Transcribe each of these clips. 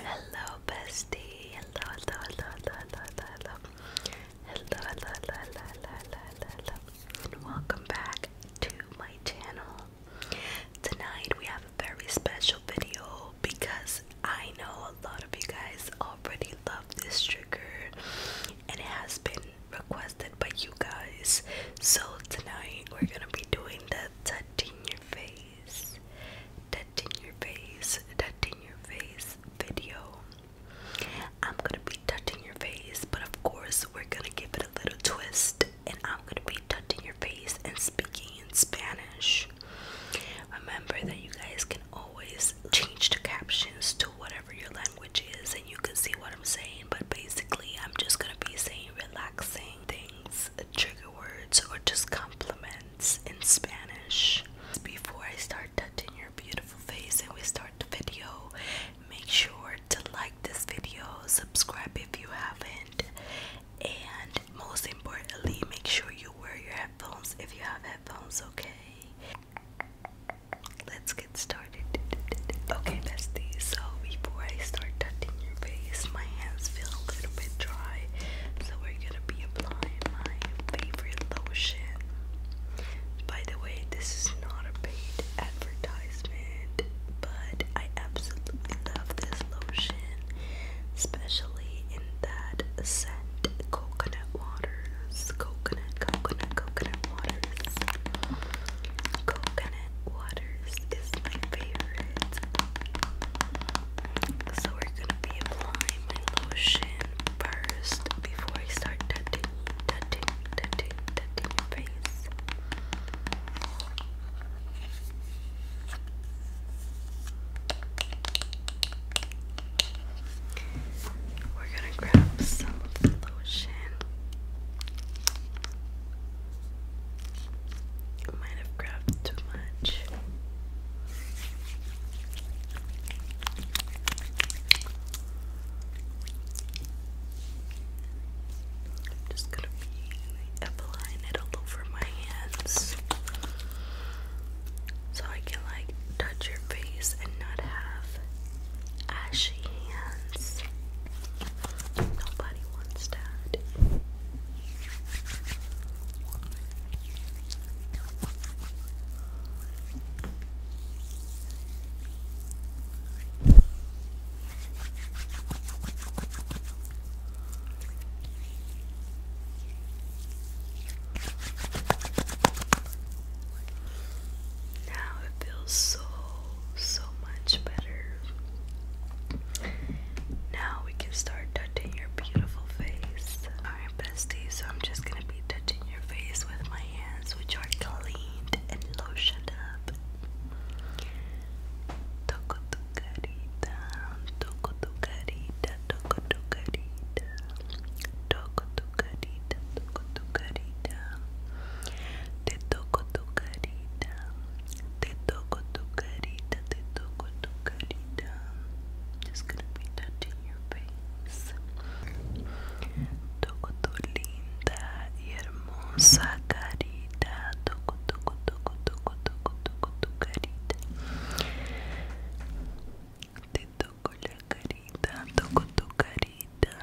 Hello, bestie. Hello, hello, hello, hello, hello, hello, hello, hello, hello, hello, hello, welcome back to my channel. Tonight we have a very special video because I know a lot of you guys already love this trigger, and it has been requested by you guys. So tonight we're gonna be doing the touching your face that in your face, that your face video. I'm gonna be touching your face, but of course, we're gonna give it a little twist, and I'm gonna be touching your face and speaking in Spanish. Remember that you guys can always change the captions to whatever your language is, and you can see what I'm saying, but basically, I'm just gonna be saying relaxing things trigger words or just compliments in Spanish. Before I start touching your beautiful face and we start the video, make sure to like this video, subscribe if you haven't, and most importantly, make sure you wear your headphones if you have headphones, okay? Let's get started. Okay, bestie. So before I start touching my hands feel a little bit dry, so we're gonna be applying my favorite lotion. By the way, this is not a paid advertisement, but I absolutely love this lotion, especially in that scent coconut waters, coconut, coconut, coconut waters, coconut. Waters is my favorite. So we're gonna be applying lotion first before I start touching, touching, touching, touching your face. We're gonna grab some lotion. Might have grabbed too much. just gonna be applying it all over my hands so I can like touch your face and not have ashy hands. Nobody wants that. Now it feels so so much better. Now we can start touching your beautiful face. Alright, bestie, so I'm just gonna be touching your face with my hands, which are cleaned and lotioned up. Toco tu carita, toco tu carita, toco tu carita, toco tu carita, toco te toco Te toco tu carita, te toco tu carita. Just gonna be touching your face. Toco tu linda hermosa carita. Toco, toco, toco, toco, toco, toco tu carita. Te toco la carita, toco tu carita.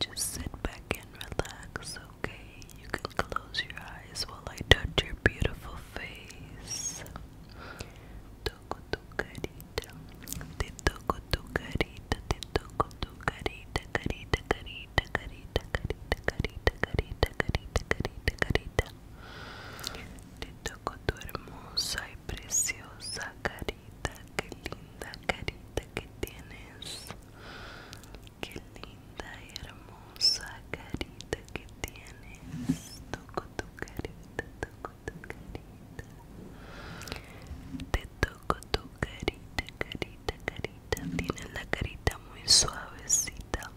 Just sit back and relax, okay? You can close your eyes while I touch your beautiful face. Toco tu carita, te toco tu carita, te toco tu carita, carita, carita, carita, carita, carita, carita, carita, carita, carita. Te toco tu hermosa y preciosa carita, qué linda carita que tienes. Qué linda y hermosa carita que tienes. Toco tu carita, toco tu carita. Te toco tu carita, carita, carita. Tienes la carita muy suavecita.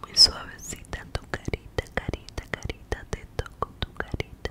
Muy suavecita tu carita, carita, carita. Te toco tu carita.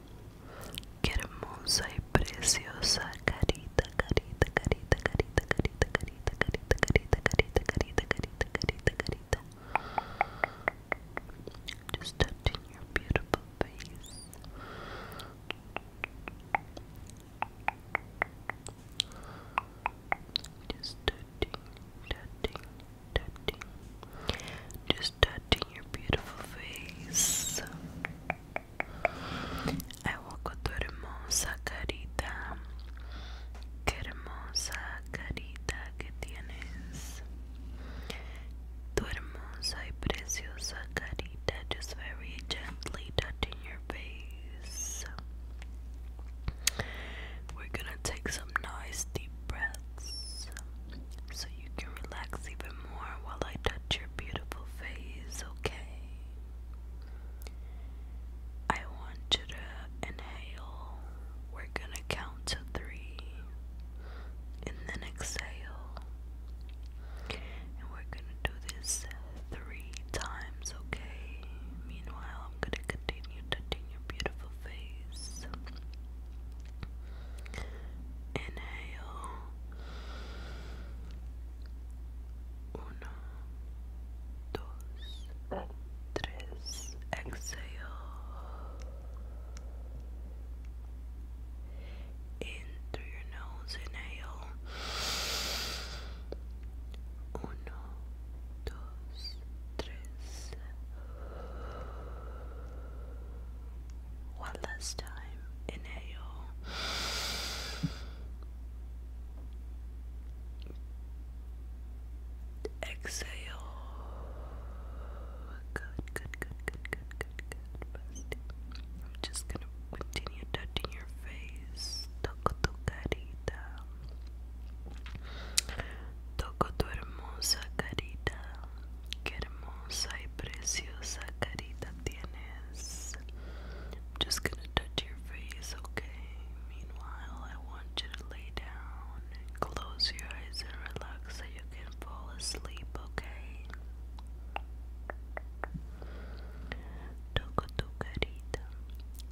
Qué hermosa y carita, carita, carita, carita, carita, carita, carita, carita, carita, carita, carita, carita, carita. Just touching your beautiful face. Just touching, touching, touching touching your beautiful face. Hago con tu hermosa carita. Qué hermosa carita que tienes. Tu hermosa y preciosa carita, just very gently touching your face. We're gonna take some nice deep breaths so you can relax even more while I touch your beautiful face, okay? I want you to inhale. We're gonna count to three. And then exhale. And we're gonna do this three times, okay? Meanwhile, I'm gonna continue touching your beautiful face. Inhale. Uno, Exhale. In through your nose. Inhale. Uno, dos, one last time, inhale. Exhale. Good, good, good, good, good, good, good. I'm just gonna continue touching your face. Toco tu carita. Toco tu hermosa carita, qué hermosa y preciosa carita tienes. I'm just gonna touch your face, okay? Meanwhile, I want you to lay down and close your eyes and relax so you can fall asleep, okay? Toco tu carita,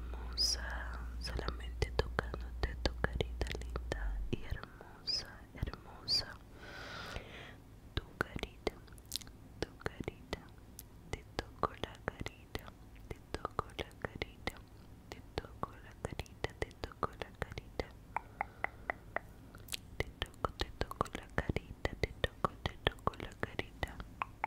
hermosa, solamente tocándote tu carita linda y hermosa, hermosa. Tu carita, tu carita, te toco la carita, te toco la carita, te toco la carita, te toco la carita. Te toco, te toco la carita, te toco, te toco la carita.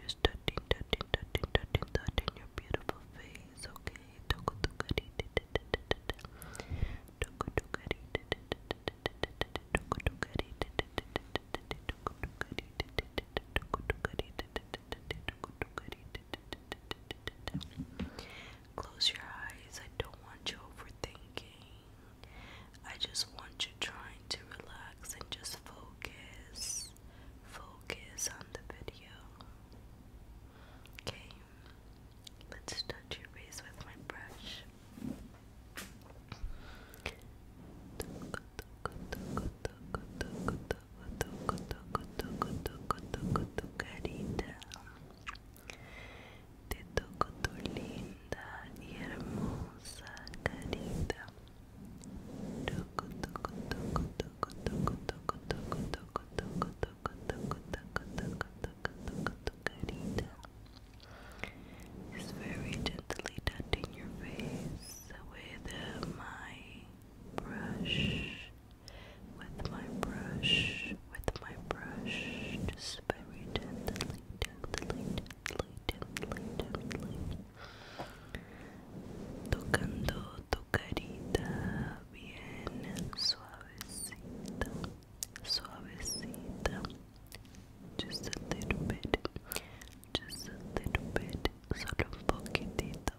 Just touching, touching, touching, touching that your beautiful face, okay? Close your eyes. I don't want you overthinking. I just want you trying to relax and just focus. Focus on the video. Okay, let's touch your face with my brush tu, tu, It's very gently touching your face with my brush, with my brush, with my brush, just very gently, gently, gently, gently, gently. Tocando tu carita bien suavecita, suavecita. Just a little bit, just a little bit, solo un poquitito,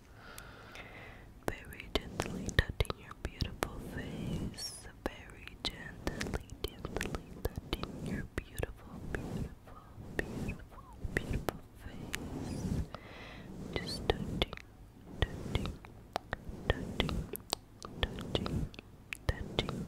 Very gently touching your beautiful face. Very gently, gently touching your beautiful, beautiful, beautiful, beautiful face. Just touching, touching, touching, touching, touching.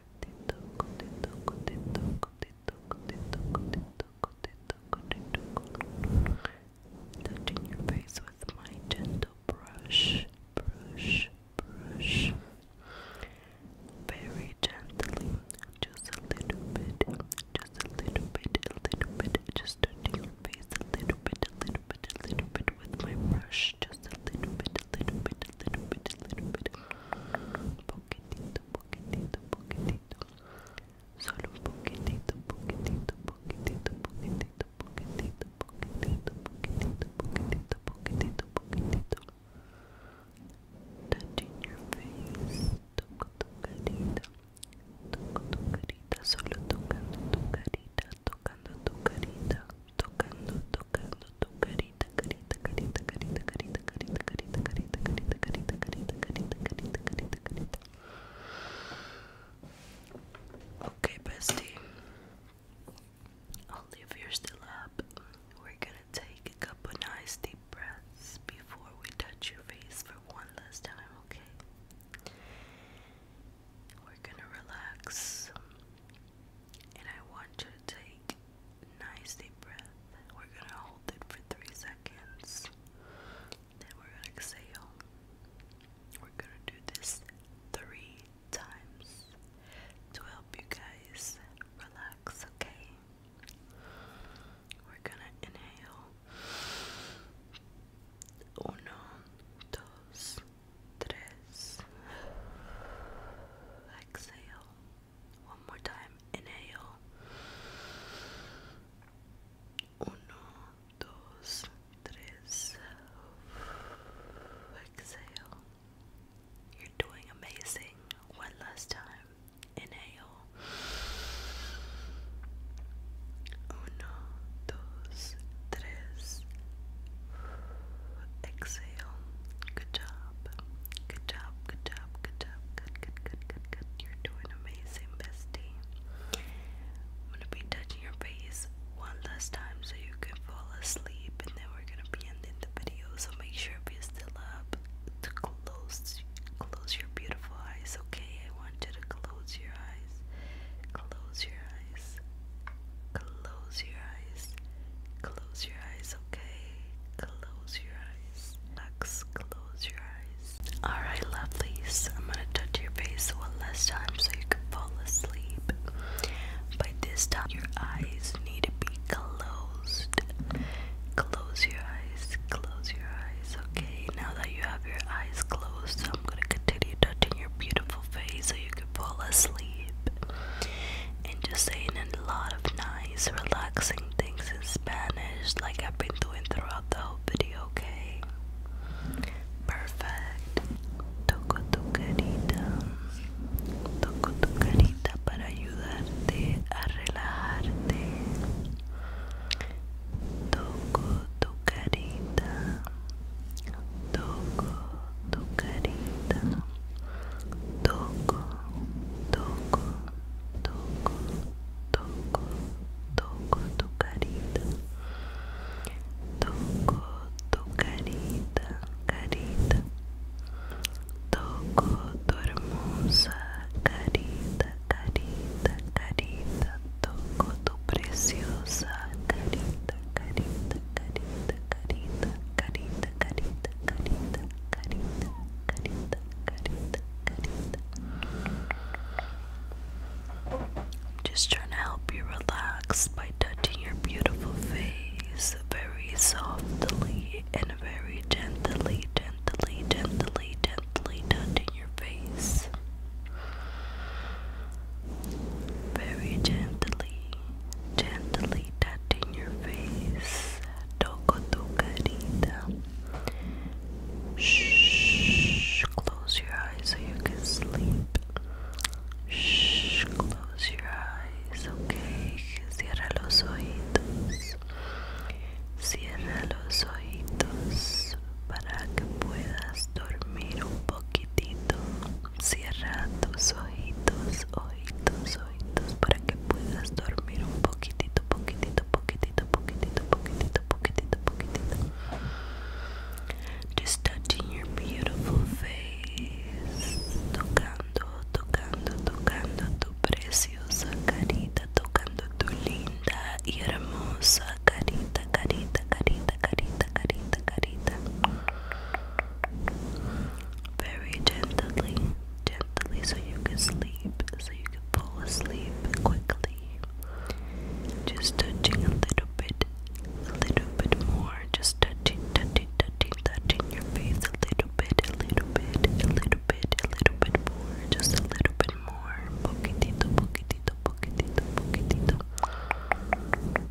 Touching your face with my gentle brush, brush, brush. Very gently, just a little bit, just a little bit, a little bit, just touching your face a little bit, a little bit, a little bit with my brush, just a little bit, a little bit, a little bit, a little bit poquitito, poquitito, poquitito. Solo un poquitito, poquitito, poquitito, poquitito, poquitito, poquitito, poquitito, poquitito, poquitito, poquitito. Touching your face, toco tu carita, toco tu carita, solo tocando tu carita, tocando tu carita, tocando, tocando, Okay, bestie. I'll leave yours still up. We're gonna take a couple nice deep breaths before we touch your face for one last time, okay? We're gonna relax. And I want you to take Nice deep breath. We're gonna hold it for three seconds. Then we're gonna exhale. We're gonna do this three times to help you guys relax, okay? We're gonna inhale. Uno, dos, tres. Exhale. One more time. Inhale. Uno, Exhale. You're doing amazing. One last time. Inhale. Uno, Exhale. Good job. Good job. Good job. Good job. good, good, good, good. You're doing amazing, bestie. I'm gonna be touching your face one last time so you can fall asleep, and then we're gonna be ending the video. So make sure if you're still up to close, close your beautiful eyes. Okay, I want you to close your eyes. Close your eyes. Close your eyes. Close your eyes, okay? Close your eyes. Relax. Close your eyes. Alright, lovelies. I'm gonna touch your face one last time so you can fall asleep. But this time, your eyes need to be closed. Close your eyes. Close your eyes, okay? Now that you have your eyes closed, I'm gonna continue touching your beautiful face so you could fall asleep and just saying a lot of nice relaxing things in Spanish like I've been doing throughout the whole video okay perfect toco tu carita toco tu carita para ayudarte a relajarte toco tu carita toco tu toco toco toco toco toco tu carita toco tu carita carita toco tu hermosa carita carita carita toco tu preciosa carita I'm just trying to help you relax by touching your beautiful face very softly and very gently, gently, gently, gently touching your face. Very gently, gently touching your face. Toco tu carita. Shh, close your eyes so you can sleep. Shh, close your eyes, okay. Cierra los ojitos Cierra los ojitos para que puedas dormir un poquitito. Cierra tus ojitos, ojitos, ojitos para que puedas dormir un poquitito, poquitito, poquitito, poquitito, poquitito, poquitito, poquitito. Just touching your beautiful face, tocando, tocando, tocando tu preciosa carita, tocando tu linda y hermosa carita, carita, carita, carita, carita, carita. very gently, gently, so you can sleep, so you can fall asleep quickly. Just touching a little bit, a little bit more, just touching, touching, touching, touching your face a little bit, a little bit, a little bit, a little bit more, just a little bit more, poquitito, poquitito, poquitito, poquitito.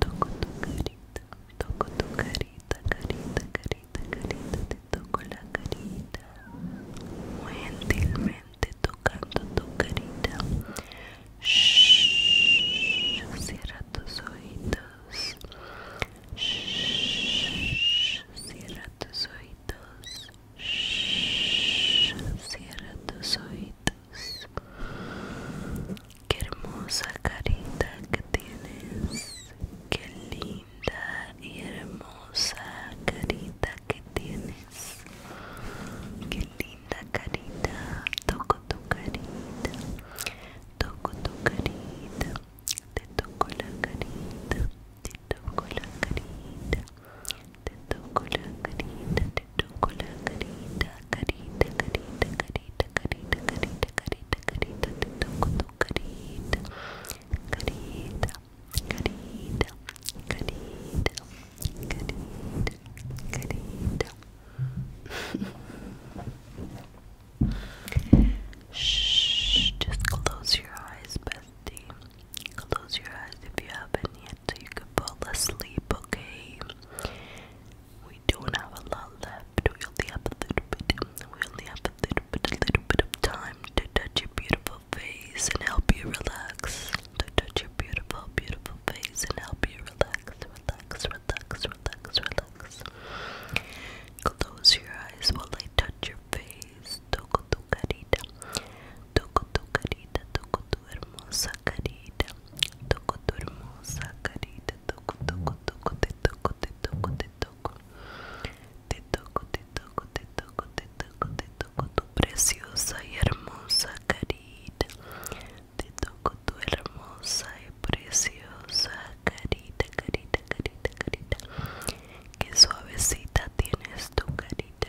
Toco tu carita, toco tu carita, carita, carita, carita, te toco la carita. Muy gentilmente tocando tu carita. Shh, cierra tus oídos. Shh, cierra tus oídos shhh, cierra tus oídos. Qué hermosa carita que tienes. Qué linda y hermosa carita que tienes. Qué linda carita. Toco tu carita. Toco tu carita. Te toco la carita. Te toco la carita. tu carita, tu carita, carita, carita, carita, carita, carita, carita, carita, carita, te toco Shh, just close your eyes, bestie. Close your eyes if you haven't yet you can fall asleep, okay? We don't have a lot left. We only have a little bit. We only have a little bit, little bit of time to touch your beautiful face and help you relax. To touch your beautiful, beautiful face and help you relax, relax, relax, relax, relax. Close your eyes while I touch your face. Toco tu carita. Toco tu carita, toco tu hermosa carita. Toco tu hermosa carita. Toco, toco, toco, te toco, te toco, te toco. Te toco, te toco, te toco, te toco, te toco tu preciosa y hermosa carita. Te toco tu hermosa y preciosa carita, carita, carita, carita. Qué suavecita tienes tu carita.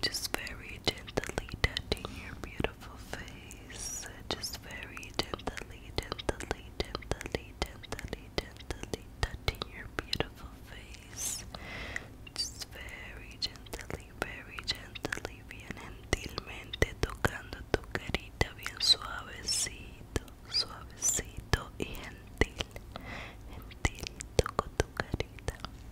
Just very gently touching your beautiful face. Just very gently, gently, gently, gently, gently touching your beautiful face. Just very gently, very gently, bien gentilmente tocando tu carita, bien suavecito, suavecito y gentil. Gentil, toco tu carita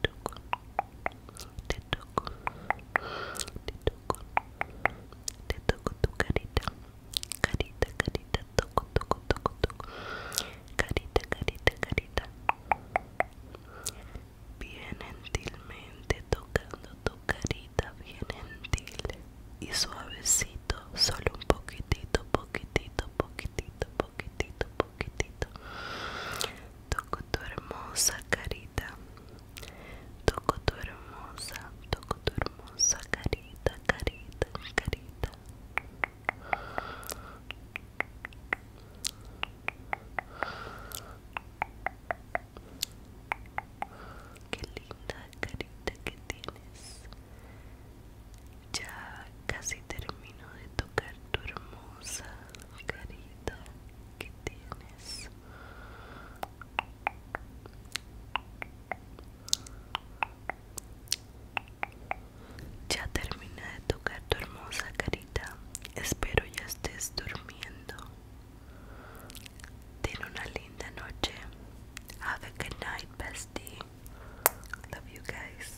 toco, te toco, te toco, te toco tu carita, carita, carita, toco, toco, toco, carita, carita, carita, bien gentilmente tocando tu carita, bien gentil y suavecito, solo un poquitito, poquitito, poquitito, poquitito, poquitito toco tu hermosa carita, toco tu hermosa, toco tu hermosa carita, carita, carita. Qué linda carita que tienes. Ya casi termino de tocar tu hermosa carita tienes ya terminé de tocar tu hermosa carita espero ya estés durmiendo ten una linda noche have a good night bestie love you guys